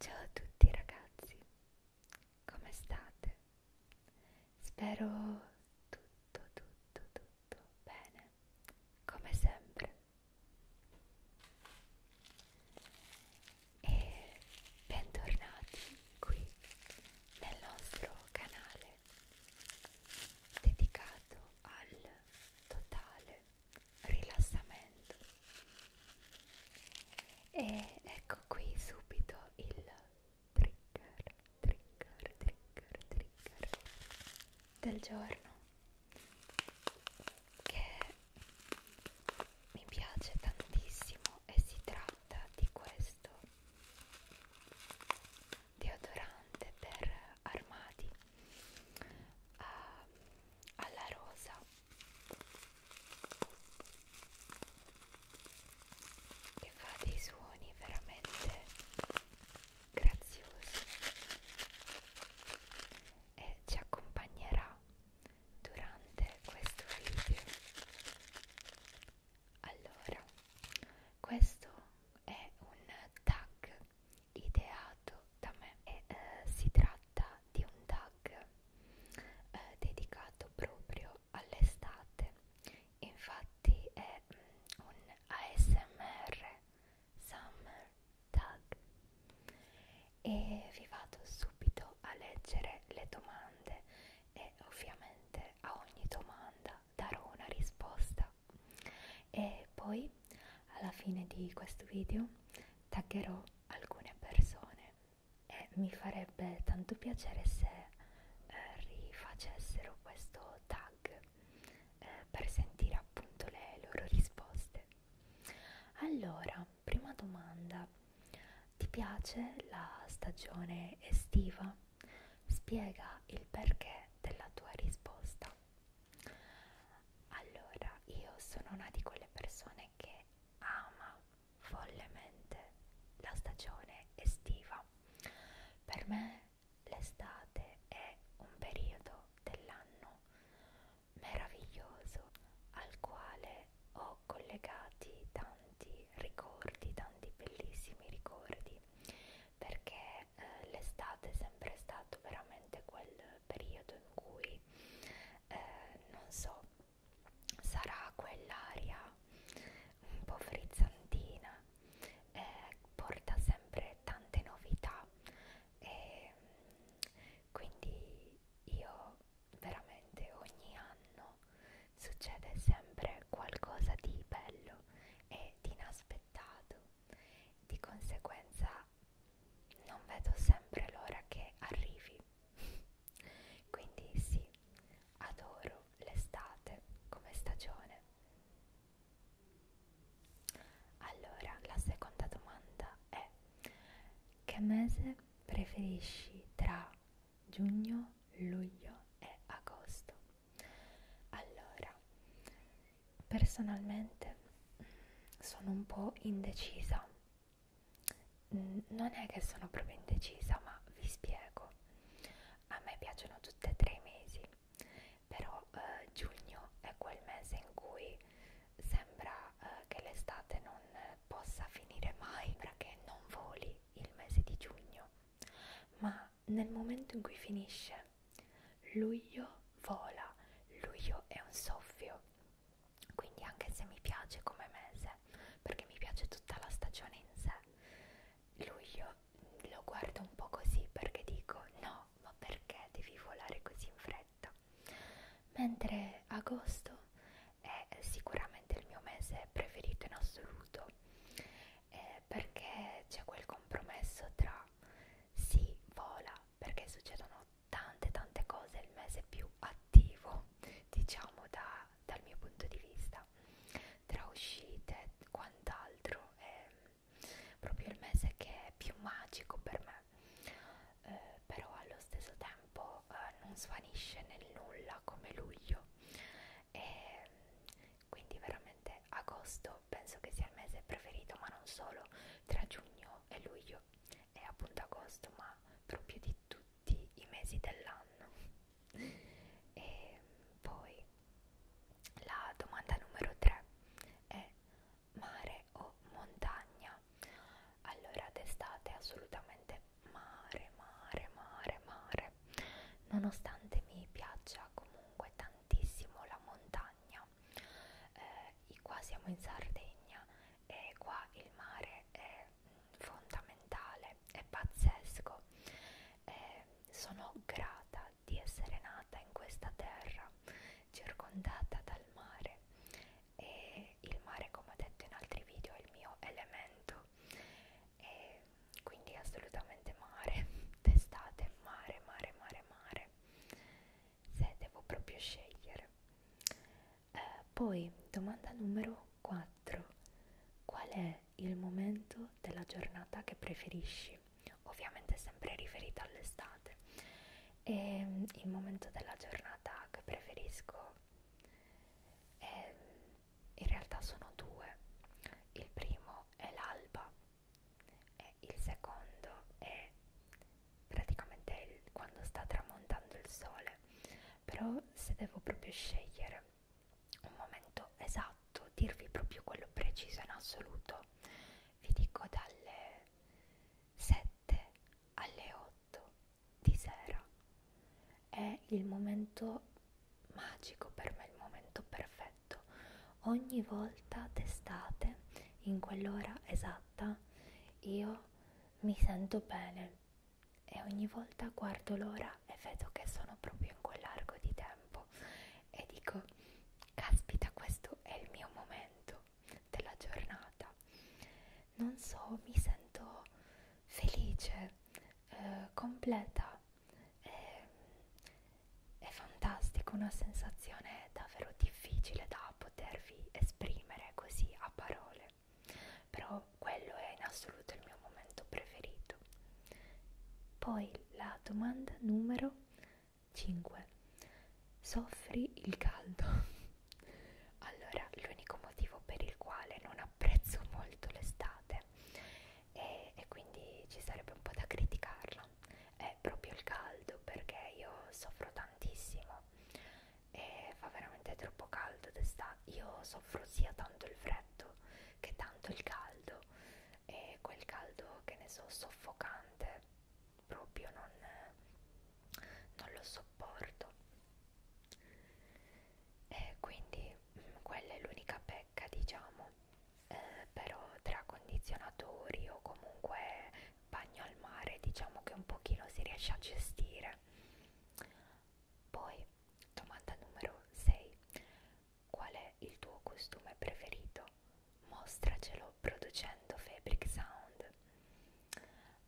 Ciao a tutti ragazzi, come state? Spero tutto, tutto, tutto bene, come sempre. E bentornati qui nel nostro canale dedicato al totale rilassamento e ecco qui subito il trigger trigger trigger trigger del giorno che mi piace tantissimo e si tratta di questo deodorante per armadi ah, alla rosa che fa dei suoni veramente graziosi e ci accompagnerà durante questo video allora questo è un tag ideale mandato da me e eh, si tratta di un tag eh, dedicato proprio all'estate infatti è mm, un ASMR Summer Tag e vi vado subito a leggere le domande e ovviamente a ogni domanda darò una risposta e poi alla fine di questo video taggerò alcune persone e mi farebbe tanto piacere se eh, rifacessero questo tag eh, per sentire appunto le loro risposte. Allora, prima domanda, ti piace la stagione estiva? Spiega il perché della tua risposta. Allora, io sono una di quelle persone che ama follemente la stagione estiva. Per me l'estate è un periodo dell'anno meraviglioso al quale ho collegati tanti ricordi, tanti bellissimi ricordi, perché eh, l'estate è sempre stato veramente quel periodo in cui eh, non so, sarà quell'aria un po' frizzantina, eh, porta sempre tante novità e quindi io veramente ogni anno succede sempre qualcosa di bello e di inaspettato di conseguenza non vedo sempre l'ora che arrivi. Quindi sì, adoro l'estate come stagione. Allora, la seconda domanda è che mese preferisci tra giugno, luglio e agosto? Allora, personalmente sono un po' indecisa. Non è che sono proprio indecisa, ma vi spiego. A me piacciono tutti e tre i mesi, però eh, giugno è quel mese in cui sembra eh, che l'estate non possa finire mai, sembra che non voli il mese di giugno, ma nel momento in cui finisce Luglio vola, luglio è un soffio, quindi anche se mi piace come mese, perché mi piace tutta la stagione in sé, luglio lo guardo un po' così perché dico no, ma perché devi volare così in fretta? Mentre agosto è sicuramente il mio mese preferito in assoluto eh, perché c'è quel compromesso tra si vola perché succedono tante tante cose, è il mese più attivo diciamo da, dal mio punto di vista, tra uscite e quant'altro, è proprio il mese che è più magico per me, eh, però allo stesso tempo eh, non svanisce nel nulla come luglio e quindi veramente agosto penso che sia il mese preferito, ma non solo tra giugno e luglio e appunto agosto, ma proprio di tutti i mesi dell'anno. E poi la domanda numero 3 è mare o montagna? Allora d'estate assolutamente mare, mare, mare, mare. Nonostante mi piaccia comunque tantissimo la montagna, Sardegna eh, qua siamo in Sardegna e qua il mare è fondamentale è pazzesco eh, sono grata di essere nata in questa terra circondata dal mare e il mare come ho detto in altri video è il mio elemento e quindi assolutamente mare d'estate mare mare mare mare se devo proprio scegliere. Eh, poi, domanda numero 4. Qual è il momento della giornata che preferisci? Ovviamente sempre riferita all'estate. E il momento della giornata che preferisco è, in realtà sono due. Il primo è l'alba e il secondo è praticamente il, quando sta tramontando il sole però se devo proprio scegliere un momento esatto dirvi proprio quello preciso in assoluto vi dico dalle 7 alle 8 di sera è il momento magico per me il momento perfetto letto, ogni volta testate in quell'ora esatta io mi sento bene e ogni volta guardo l'ora e vedo che sono proprio in quell'arco di tempo e dico caspita questo è il mio momento della giornata non so mi sento felice eh, completa eh, è fantastico, una sensazione davvero difficile da potervi esprimere così a parole, però quello è in assoluto il mio momento preferito. Poi la domanda numero 5. Soffri il caldo? allora, l'unico motivo per il quale non apprezzo molto l'estate e, e quindi ci sarebbe un po' da criticarla inverno è proprio il caldo perché io soffro tantissimo e fa veramente troppo caldo d'estate io soffro sia tanto il freddo che tanto il caldo e quel caldo che ne so soffocante proprio non, non lo sopporto e quindi mh, mm, quella è l'unica pecca diciamo eh, però tra condizionatori o comunque bagno al mare diciamo che un pochino si riesce a gestire poi domanda numero 6 qual è il tuo costume preferito? mostracelo producendo Fabric Sound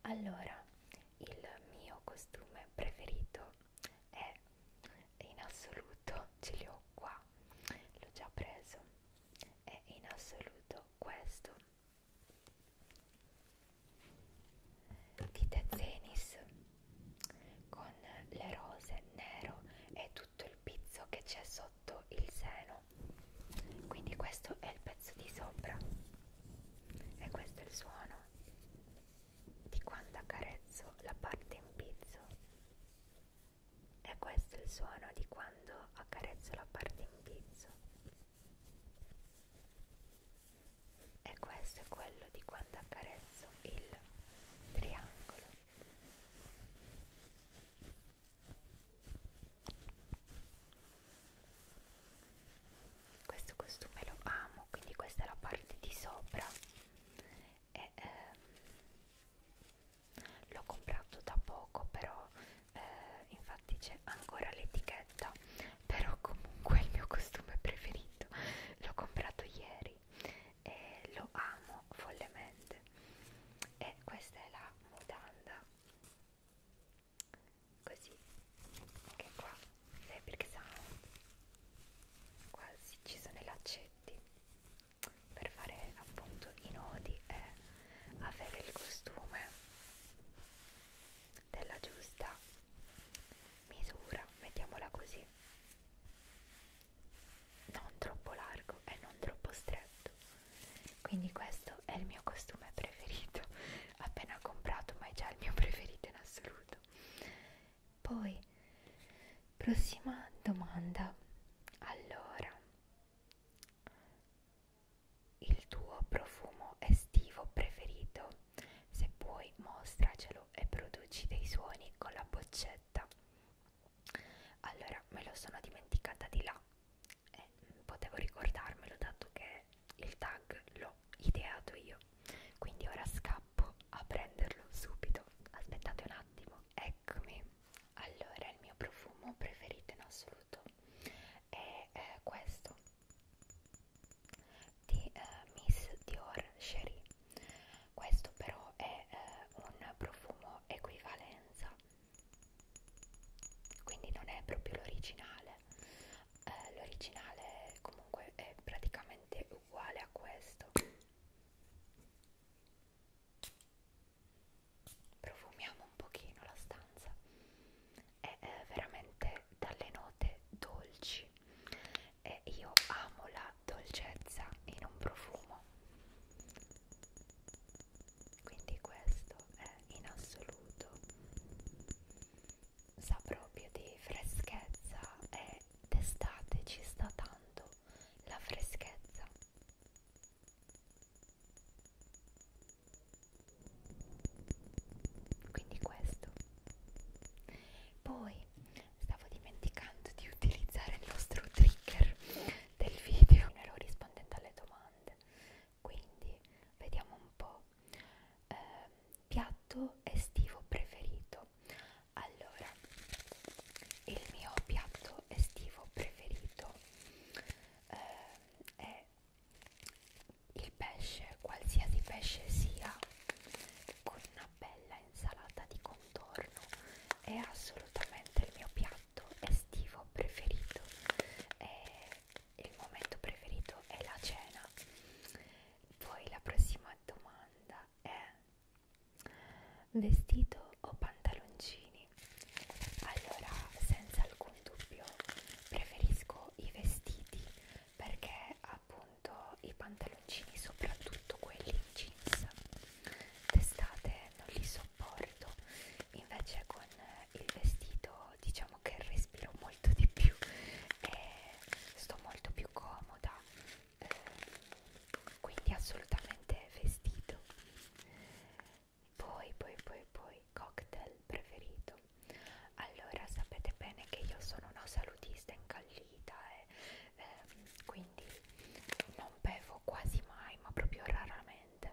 allora il mio costume preferito è in assoluto ce li ho qua l'ho già preso è in assoluto questo di The Zenis con le rose nero e tutto il pizzo che c'è sotto il seno quindi questo è il pezzo di sopra e questo è il suono di quando accarezzo la parte in pizzo e questo è il suono di quando accarezzo la parte in pizzo. E questo è quello di quando accarezzo il triangolo. Questo costume lo amo, quindi questa è la parte di sopra e ehm, l'ho comprato da poco però eh, infatti c'è ancora l'etichetta però comunque è il mio costume preferito l'ho comprato ieri e lo amo follemente e questa è la mutanda così che qua Fabric Sound quasi ci sono i laccetti per fare appunto i nodi è avere il costume della giusta misura, mettiamola così, non troppo largo e non troppo stretto. Quindi questo è il mio costume preferito, appena comprato ma è già il mio preferito in assoluto poi, prossima domanda. Allora, il tuo profumo estivo preferito? Se puoi, mostracelo e produci dei suoni con la boccetta. Allora, me lo sono dimenticata di là e potevo ricordarmelo dato che il tag l'ho ideato io. Quindi ora scappo a prenderlo subito. Aspettate un attimo. Eccomi, allora il mio profumo preferito in assoluto è eh, questo di eh, Miss Dior Cherie. Questo però è eh, un profumo equivalenza, quindi non è proprio l'originale. Eh, l'originale comunque è praticamente uguale a questo profumiamo un pochino la stanza è eh, veramente dalle note dolci e io amo la dolcezza in un profumo quindi questo è in assoluto sa proprio di freschezza e d'estate ci sta tanto la freschezza. Quindi questo. Poi stavo dimenticando di utilizzare il nostro trigger del video. Non ero rispondendo alle domande. Quindi vediamo un po'. Eh, piatto estivo preferito allora il mio piatto estivo preferito eh, è il pesce qualsiasi pesce sia con una bella insalata di contorno è assolutamente il mio piatto estivo preferito e il momento preferito è la cena poi la prossima domanda è Vestito o pantaloncini? Allora, senza alcun dubbio, preferisco i vestiti perché appunto i pantaloncini, soprattutto quelli in jeans, d'estate non li sopporto. Invece con il vestito diciamo che respiro molto di più e sto molto più comoda eh, quindi assolutamente vestito poi poi poi poi cocktail preferito allora sapete bene che io sono una salutista incallita e eh. ehm, quindi non bevo quasi mai ma proprio raramente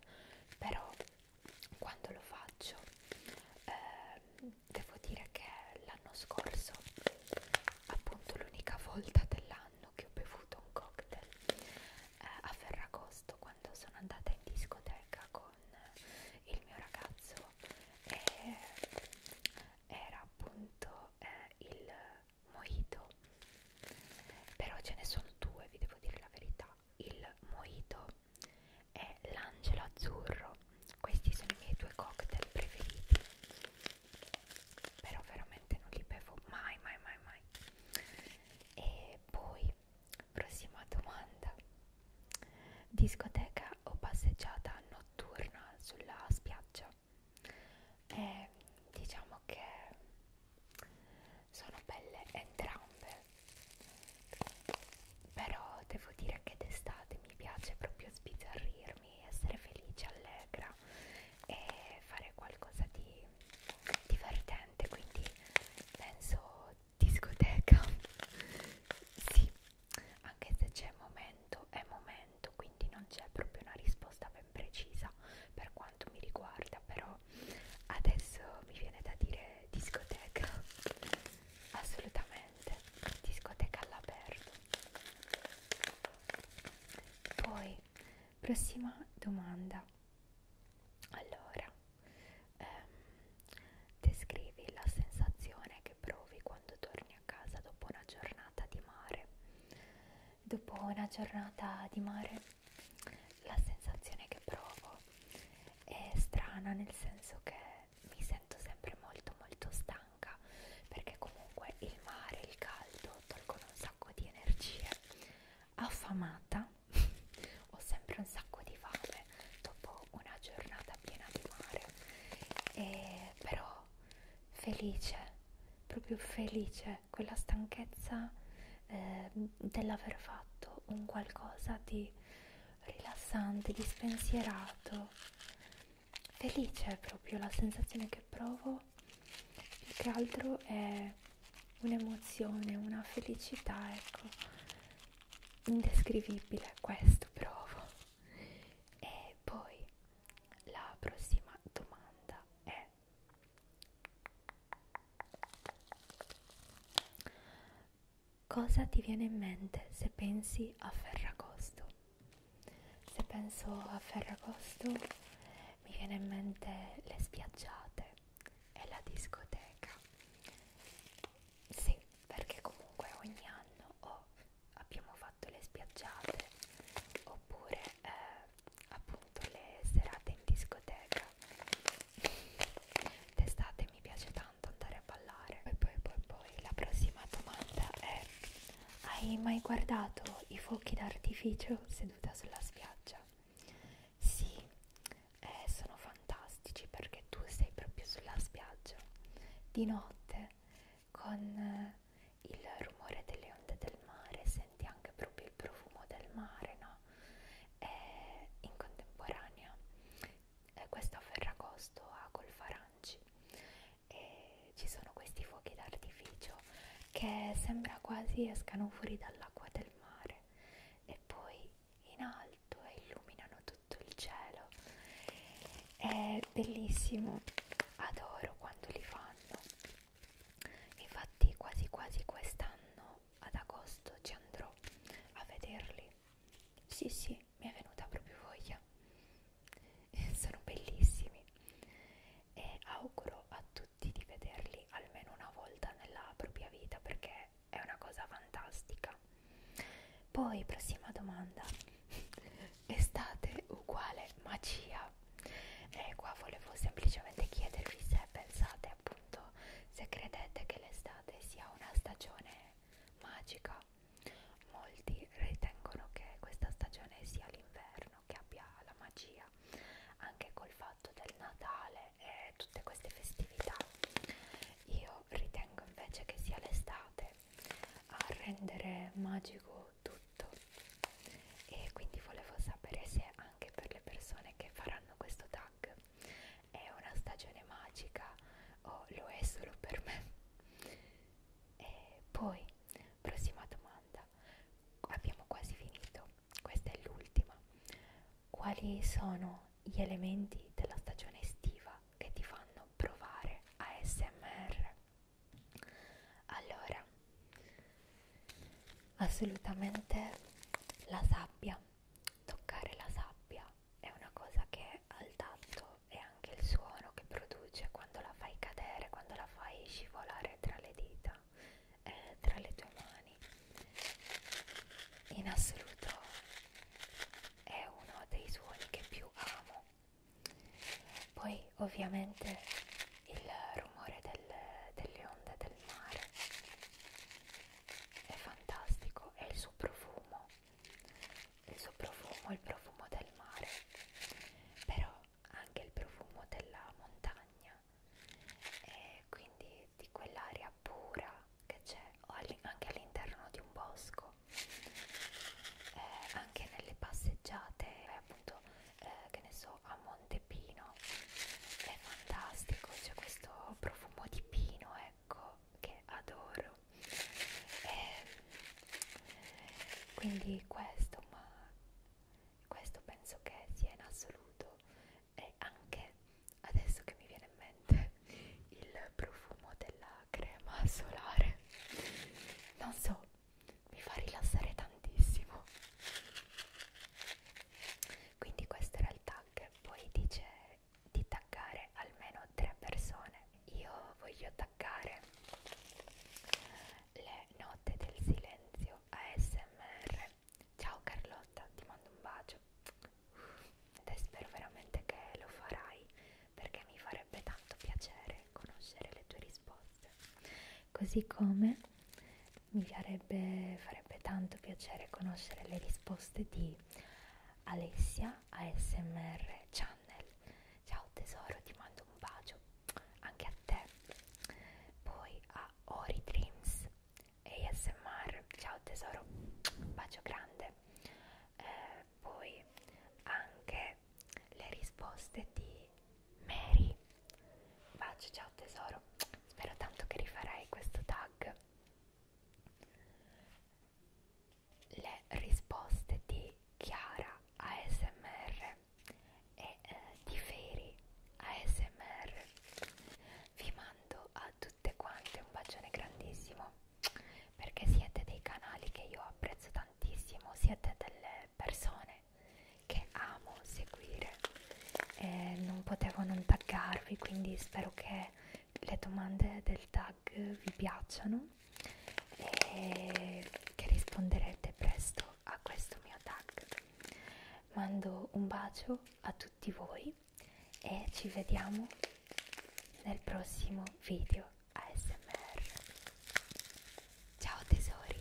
però quando lo faccio ehm, devo dire che l'anno scorso appunto l'unica volta dell'anno che ho bevuto un cocktail eh, a Ferragosto quando sono andata in discoteca con il mio ragazzo e era appunto eh, il mojito però ce ne sono due vi devo dire la verità il mojito e l'angelo azzurro questi sono i miei due cocktail preferiti però veramente non li bevo mai mai mai mai e poi prossima domanda discoteca o passeggiata notturna sulla spiaggia e eh, diciamo che sono belle entrambe però devo dire che d'estate mi piace proprio sbizzarrirmi divertirmi, essere felice, allegra e fare qualcosa di divertente, quindi penso discoteca, sì, anche se c'è momento, è momento, quindi non c'è proprio una risposta ben precisa per quanto mi riguarda, però adesso mi viene da dire discoteca, assolutamente, discoteca all'aperto. Poi, prossima domanda. Allora, ehm, descrivi la sensazione che provi quando torni a casa dopo una giornata di mare. Dopo una giornata di mare, la sensazione che provo è strana nel senso che mi sento sempre molto molto stanca perché comunque il mare, il caldo tolgono un sacco di energie affamata ho sempre un sacco di fame dopo una giornata piena di mare e però felice proprio felice quella stanchezza eh, dell'aver fatto un qualcosa di rilassante di spensierato felice è proprio la sensazione che provo, più che altro è un'emozione, una felicità, ecco, indescrivibile, questo provo. E poi la prossima domanda è cosa ti viene in mente se pensi a Ferragosto? Se penso a Ferragosto mi viene in mente le spiaggiate e la discoteca. Sì, perché comunque ogni anno o abbiamo fatto le spiaggiate oppure eh, appunto le serate in discoteca. D'estate mi piace tanto tanto andare a ballare. E poi, poi, poi, la prossima domanda è: Hai mai guardato i fuochi d'artificio seduta sulla spiaggia? Sì, eh, sono fantastici perché tu sei proprio sulla spiaggia di notte con eh, il rumore delle onde del mare, senti anche proprio il profumo del mare, no? E in contemporanea, eh, questo a Ferragosto a Golfa Aranci e ci sono questi fuochi d'artificio che sembra quasi escano fuori dall'acqua del mare e poi in alto e illuminano tutto il cielo è bellissimo adoro quando li fanno infatti quasi quasi quest'anno ad agosto ci andrò a vederli sì sì mi è venuta proprio voglia sono bellissimi e auguro a tutti di vederli almeno una volta nella propria vita perché è una cosa fantastica poi prossima domanda estate uguale magia e qua volevo semplicemente chiedervi se pensate appunto se credete che l'estate sia una stagione magica. Molti ritengono che questa stagione sia l'inverno, che abbia la magia, anche col fatto del Natale e tutte queste festività. Io ritengo invece che sia l'estate a rendere magico tutto e quindi volevo sapere se anche per le persone che faranno questo tag è una stagione magica o lo è solo per me e poi, prossima domanda, abbiamo quasi finito, questa è l'ultima. Quali sono gli elementi della stagione estiva che ti fanno provare ASMR? Allora, assolutamente la sabbia, toccare la sabbia è una cosa che al tatto e anche il suono che produce quando la fai cadere, quando la fai scivolare tra le dita, eh, tra le tue mani. In assoluto è uno dei suoni che più amo. Poi ovviamente il rumore del, delle onde del mare è fantastico e il suo profumo il suo profumo, il profumo del mare, però anche il profumo della montagna e quindi di quell'aria pura che c'è all anche all'interno di un bosco, eh, anche nelle passeggiate, eh, appunto, eh, che ne so, a Montepino è fantastico, c'è questo profumo di pino, ecco secco che adoro e quindi questo ma questo penso che sia in assoluto e anche adesso che mi viene in mente il profumo della crema solare non so mi fa rilassare tantissimo quindi questo era il tag poi dice di taggare almeno tre persone. Io voglio taggare le note del silenzio ASMR. Ciao Carlotta, ti mando un bacio. Ed spero veramente che lo farai perché mi farebbe tanto piacere conoscere le tue risposte. Così come mi farebbe, farebbe tanto piacere conoscere le risposte di Alessia ASMR Channel. Ciao tesoro, ti mando un bacio anche a te. Poi a Ori Dreams ASMR. Ciao tesoro, un bacio grande. Eh, poi anche le risposte di Mary. Bacio, ciao tesoro. Spero tanto che rifarai questo tag le risposte di Chiara ASMR e eh, di Feri ASMR. Vi mando a tutte quante un bacione grandissimo perché siete dei canali che io apprezzo tantissimo, siete delle persone che amo seguire e non potevo non taggarvi, quindi spero che le domande del tag tag vi piacciono e eh, che risponderete presto a questo mio tag. Mando un bacio a tutti voi e ci vediamo nel prossimo video ASMR. Ciao tesori!